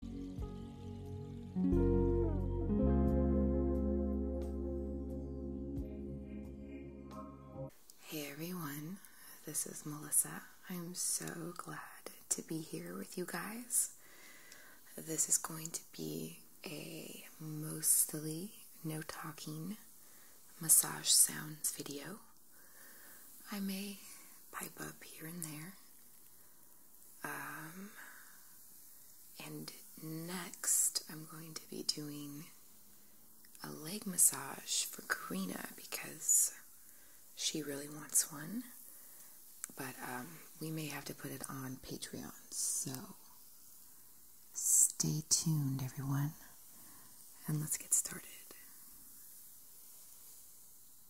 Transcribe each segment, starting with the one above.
Hey everyone, this is Melissa. I'm so glad to be here with you guys. This is going to be a mostly no talking massage sounds video. I may pipe up here and there. Um, and next, I'm going to be doing a leg massage for Karina because she really wants one. But um, we may have to put it on Patreon, so stay tuned, everyone, and let's get started.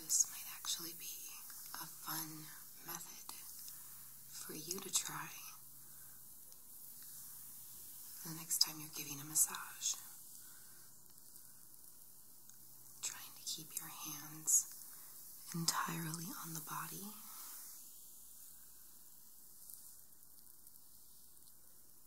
this might actually be a fun method for you to try the next time you're giving a massage. Trying to keep your hands entirely on the body.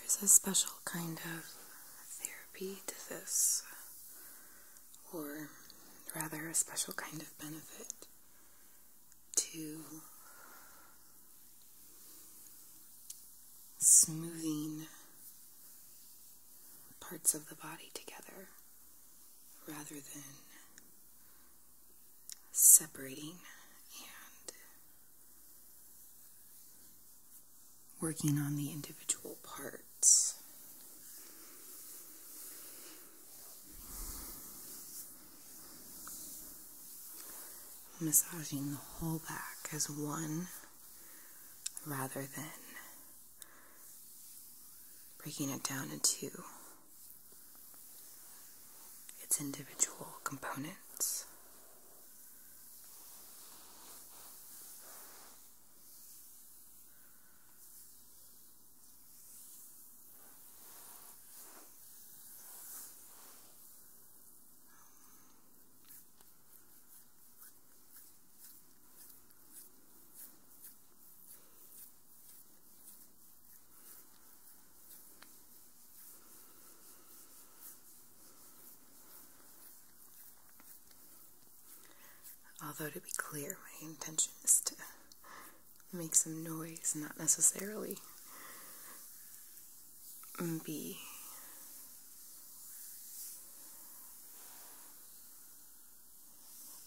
There's a special kind of therapy to this, or rather, a special kind of benefit to smoothing parts of the body together rather than separating and working on the individual parts. Massaging the whole back as one rather than breaking it down into its individual components. Although, to be clear, my intention is to make some noise, not necessarily be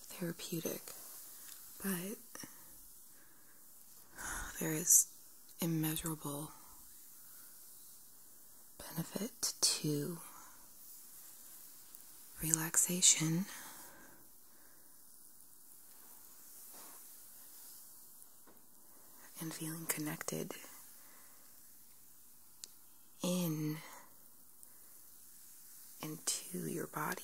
therapeutic, but there is immeasurable benefit to relaxation. And feeling connected in and to your body.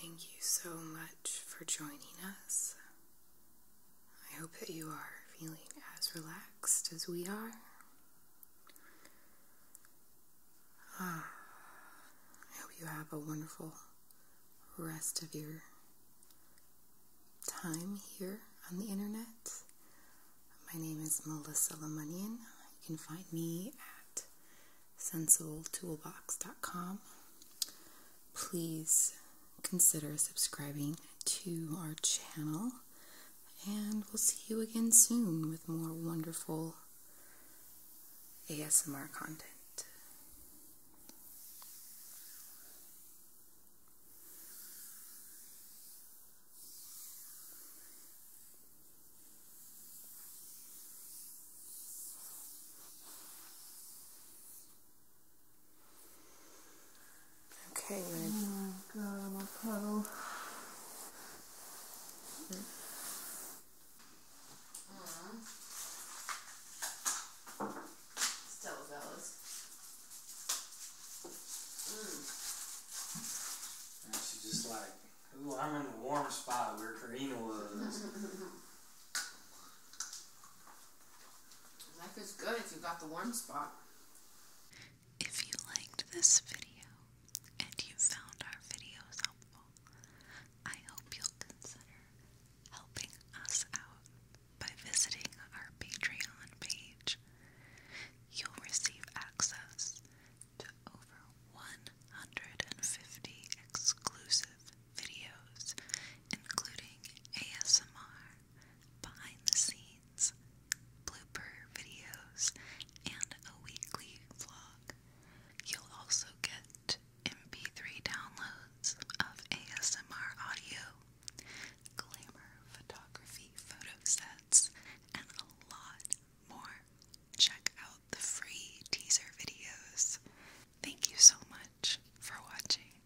Thank you so much for joining us. I hope that you are feeling as relaxed as we are. Ah, I hope you have a wonderful rest of your time here on the internet. My name is Melissa Lemunian. You can find me at SensualToolbox.com. Please consider subscribing to our channel, and we'll see you again soon with more wonderful ASMR content. Okay, Oh my god, my puddle. Mm-hmm. Still zealous. Mm. she's just like, ooh, I'm in the warm spot where Karina was. Life is good if you got the warm spot. If you liked this video and you found our videos helpful, I hope you'll consider helping us out by visiting our Patreon page you'll receive access to over 150 exclusive videos, including ASMR, behind the scenes, blooper videos, and a weekly vlog. You'll also get MP3 downloads of ASMR audio glamour photography photo sets, and a lot more. Check out the free teaser videos. Thank you so much for watching.